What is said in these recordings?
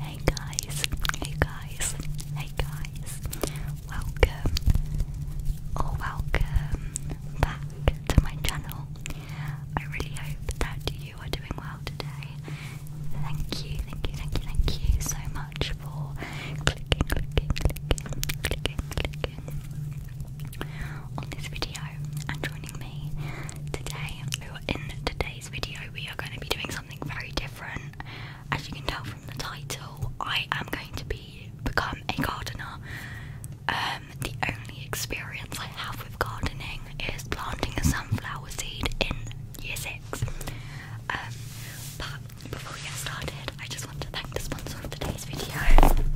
Hey guys, hey guys, hey guys, welcome or welcome back to my channel. I really hope that you are doing well today. Thank you, thank you, thank you, thank you so much for clicking, clicking, clicking, clicking, clicking on this video and joining me today. We are in today's today's video we are going to be doing something very different. As you can tell from the title, I am going to be become a gardener. Um, the only experience I have with gardening is planting a sunflower seed in year six. Um, but before we get started, I just want to thank the sponsor of today's video,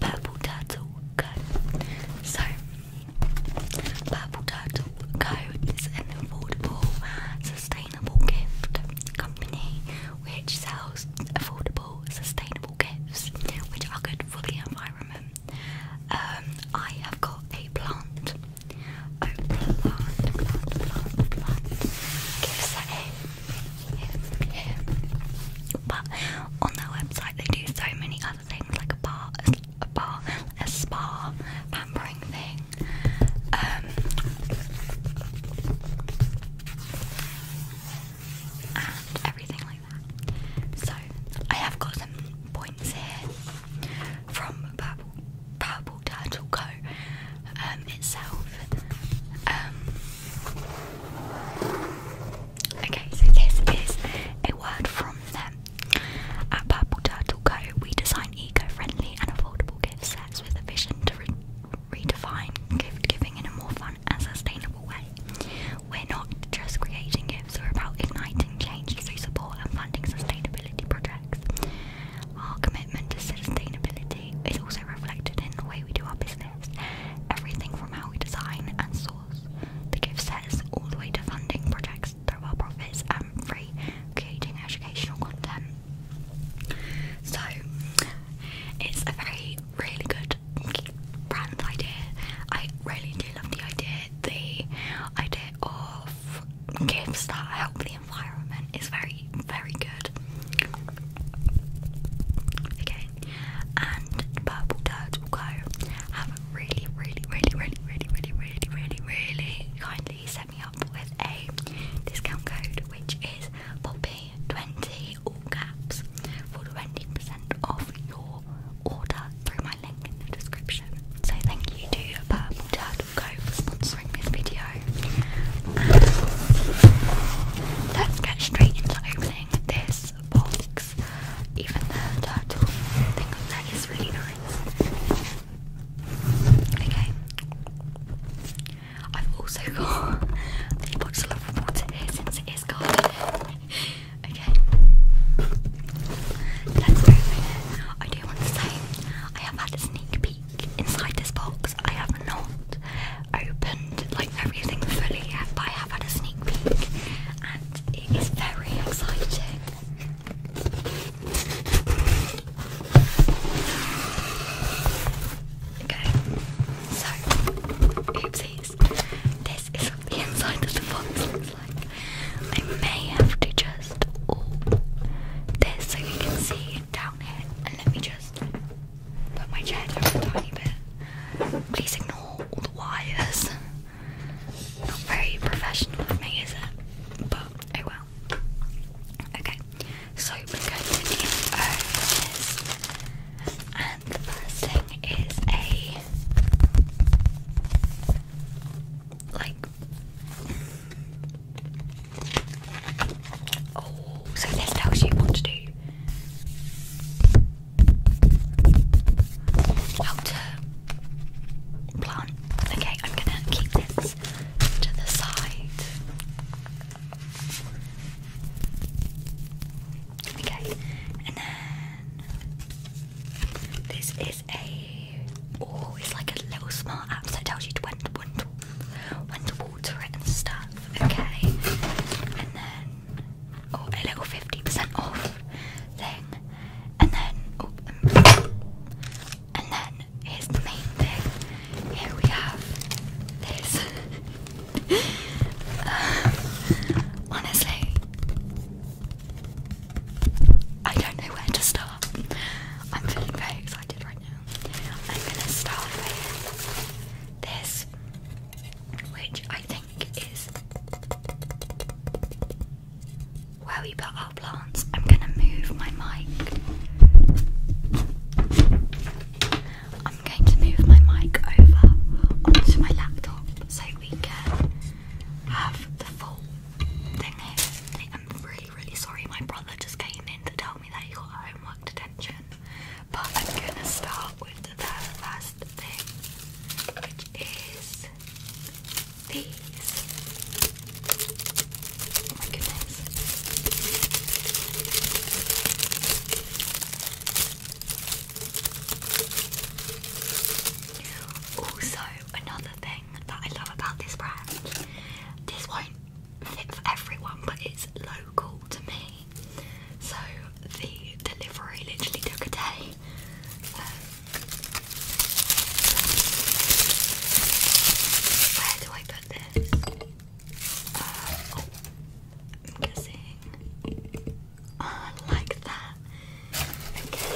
Purple Turtle Co. So Purple Turtle Co. is an affordable, sustainable gift company which sells affordable, sustainable gifts which are good for the environment. Um, I have got a plant. Oh, but on their website they do so many other things like a bar, a bar, a spa pampering thing. Um, and everything like that. So I have got some points here from Purple, Purple Turtle Co. Um, itself. Um, Okay, so this is a word from them. Um, at Purple Turtle Co, we design eco-friendly and affordable gift sets with a vision to redefine gift giving in a more fun and sustainable way. We're not just creating gifts, we're about igniting change through support and funding sustainability projects. Our commitment to sustainability is also reflected in the way we do our business. Everything from how we design and source the gift sets all the way to funding projects through well profits and free creating educational content. So it's a very really good brand idea. I really do love the idea. The idea of gifts that help the environment is very, very good. Okay, and purple dirt will go really, really, really, really, really, really, really, really, really kindly set me up with a discount code which is Poppy20 all caps for 20 off your order through my link in the description. So thank you to Purple Turtle for sponsoring this video. let's get straight into opening this box. Even the turtle thing on there is really nice. Okay. I've also got a box of water since it is cold. okay. Let's open it. I do want to say I have had a sneak peek inside this box. I have not opened like everything fully yet, but I have had a sneak peek it is very exciting. Okay, so, oopsies. This is what the inside of the box looks like. I may have to just this so you can see down here. And let me just put my chair down a tiny bit. Please ignore all the wires. Not very professional of me, is it? But oh well. Okay, so we're going to need oranges. And the first thing is a like Oh, so this tells you what to do how plant. Okay, I'm gonna keep this to the side. Okay, and then this is a oh, it's like a little smart app that tells you to when to when to, when to water it and stuff. Okay, and then oh, a little 50% off thing, and then, um, and then here's the main thing. Here we have this. Uh, honestly, I don't know where to start. I'm feeling very excited right now. I'm gonna start with this, which I think where we put our plants. I'm gonna move my mic. I'm going to move my mic over onto my laptop so we can have the full thing here. I'm really, really sorry. My brother just came in to tell me that he got homework detention. But I'm gonna start with and the last thing, which is these. Oh also, another thing that I love about this brand, this won't fit for everyone, but it's local to me. So the delivery literally took a day. where do I put this? Uh, oh, I'm guessing ah, like that. Okay.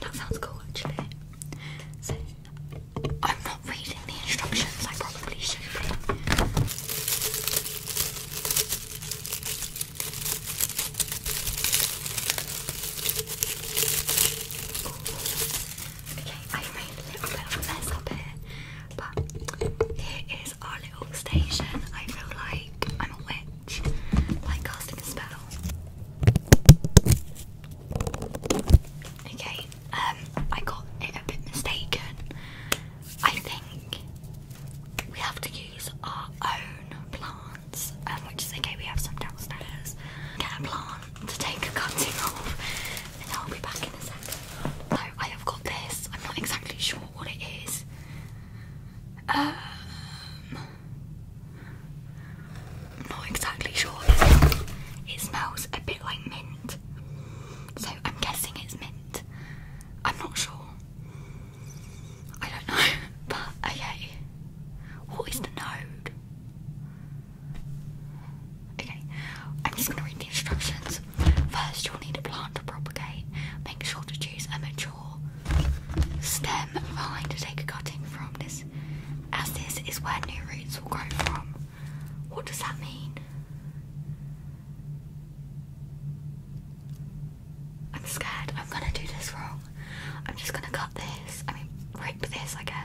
That sounds cool actually. So I'm not reading the instructions, I probably should Okay, I made a little bit of a mess up here, but here is our little station. I feel like I'm a witch, like casting a spell. Okay, um, I got it a bit mistaken. I think we have to use our own plant. Um, which is okay, we have some downstairs. Get a plant to take a cutting off, and I'll be back in a second. So, I have got this, I'm not exactly sure what it is. Um, not exactly sure. It smells a bit like mint, so I'm guessing it's mint. I'm not sure. I don't know, but okay. What is the node? Okay, I'm just gonna read the instructions. First, you'll need a plant to propagate. Make sure to choose a mature stem vine to take a cutting from this, as this is where new roots will grow from. What does that mean? I'm scared I'm gonna do this wrong. I'm just gonna cut this. I mean, rip this, I guess.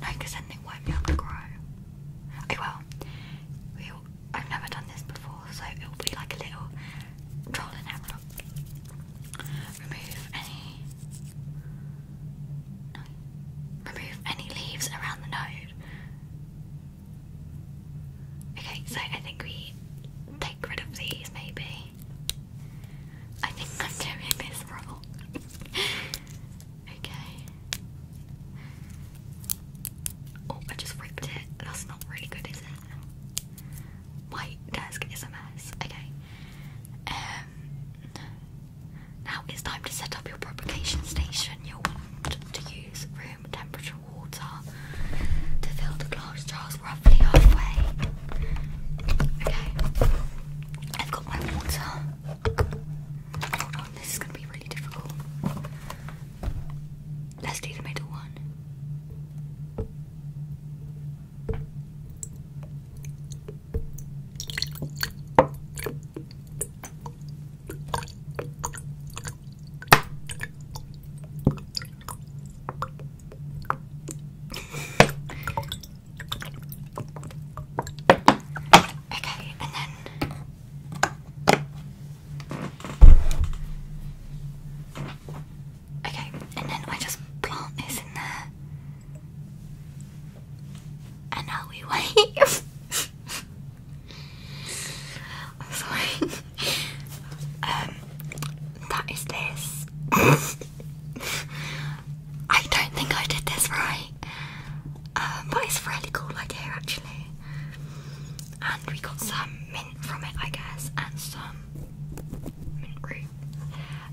No, because anything won't be able to grow. Okay, well, we'll I've never done this before, so it will be like a little trial and Remove any. Remove any leaves around the node. Okay, so I think we take rid of these maybe. I think I'm doing this wrong. okay. Oh, I just ripped it. That's not really good, is it? My desk is a mess. Okay. Um. Now it's time to set up your propagation station. You'll want to use room temperature water to fill the glass jars roughly halfway. Okay, I've got my water. Hold oh, on, this is gonna be really difficult. Let's do the middle one. Okay, and then. Okay, and then I just plant this in there. And now we wait. sorry. Um, that is this. I don't think I did this right. Um, but it's a really cool idea actually. And we got some mint from it, I guess, and some mint root.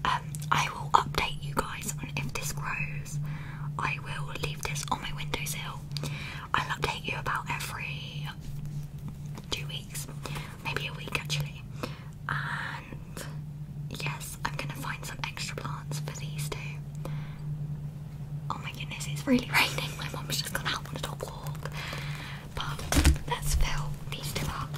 Um, I will update you guys on if this grows. I will leave this on my windowsill. I'll update you about every two weeks maybe a week actually. And yes, I'm gonna find some extra plants for these two. Oh my goodness, it's really raining. My mum's just gone out on a dog walk. But let's fill these two up.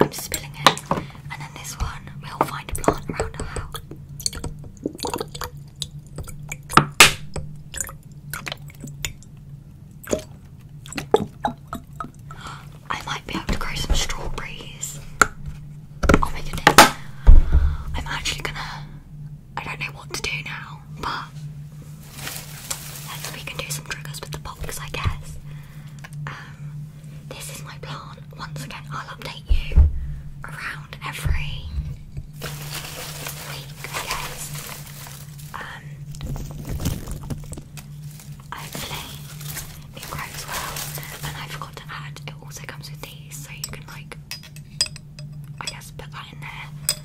I'm spilling it. And then this one, we'll find a plant around our house. I might be able to grow some strawberries. Oh my goodness. I'm actually gonna. I don't know what to do now, but we can do some triggers with the box, I guess. Um, this is my plan. Once again, I'll update you around every week, I guess. Um, hopefully it grows well. And I forgot to add, it also comes with these, so you can like, I guess, put that in there,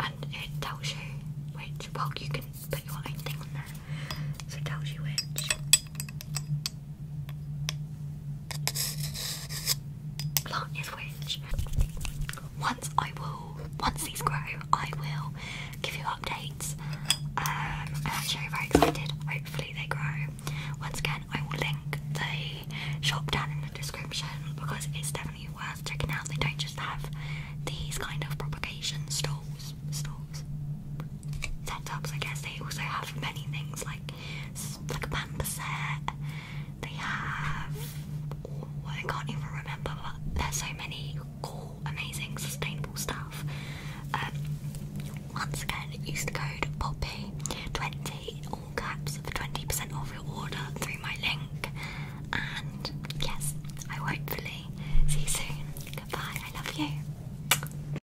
and it tells you which. Well, you can put your own thing on there, so it tells you which plant is which. Once I will, once these grow, I will give you updates. Um, I'm actually very excited. Hopefully they grow. Once again, I will link the shop down in the description because it's definitely worth checking out. They don't just have these kind of propagation stalls, stalls, setups. I guess they also have many things like like Pamperset. They have I can't even remember, but there's so many amazing, sustainable stuff. Um, once again, use the code Poppy twenty all caps for twenty percent off your order through my link. And yes, I hopefully see you soon. Goodbye. I love you.